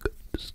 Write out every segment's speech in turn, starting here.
good stuff.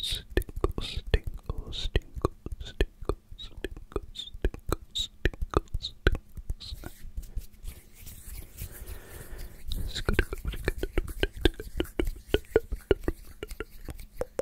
Tinkles, tinkles, tinkles, tinkles, tinkles, tinkles, tinkles, tinkles, tinkles. It's good, good, good.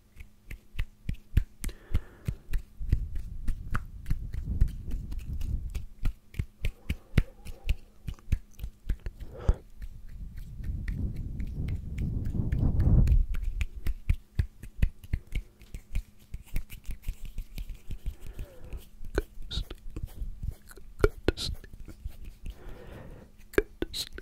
Good to sleep. Good to sleep.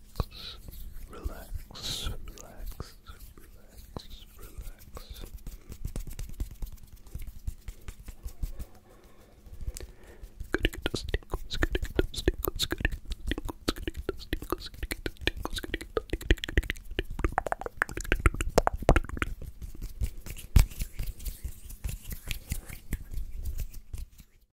relax, relax, relax, relax. Gotta get those tingles, gotta get those tingles, gotta get those tingles, gotta get those tingles, gotta get those tingles, gotta get those tingles.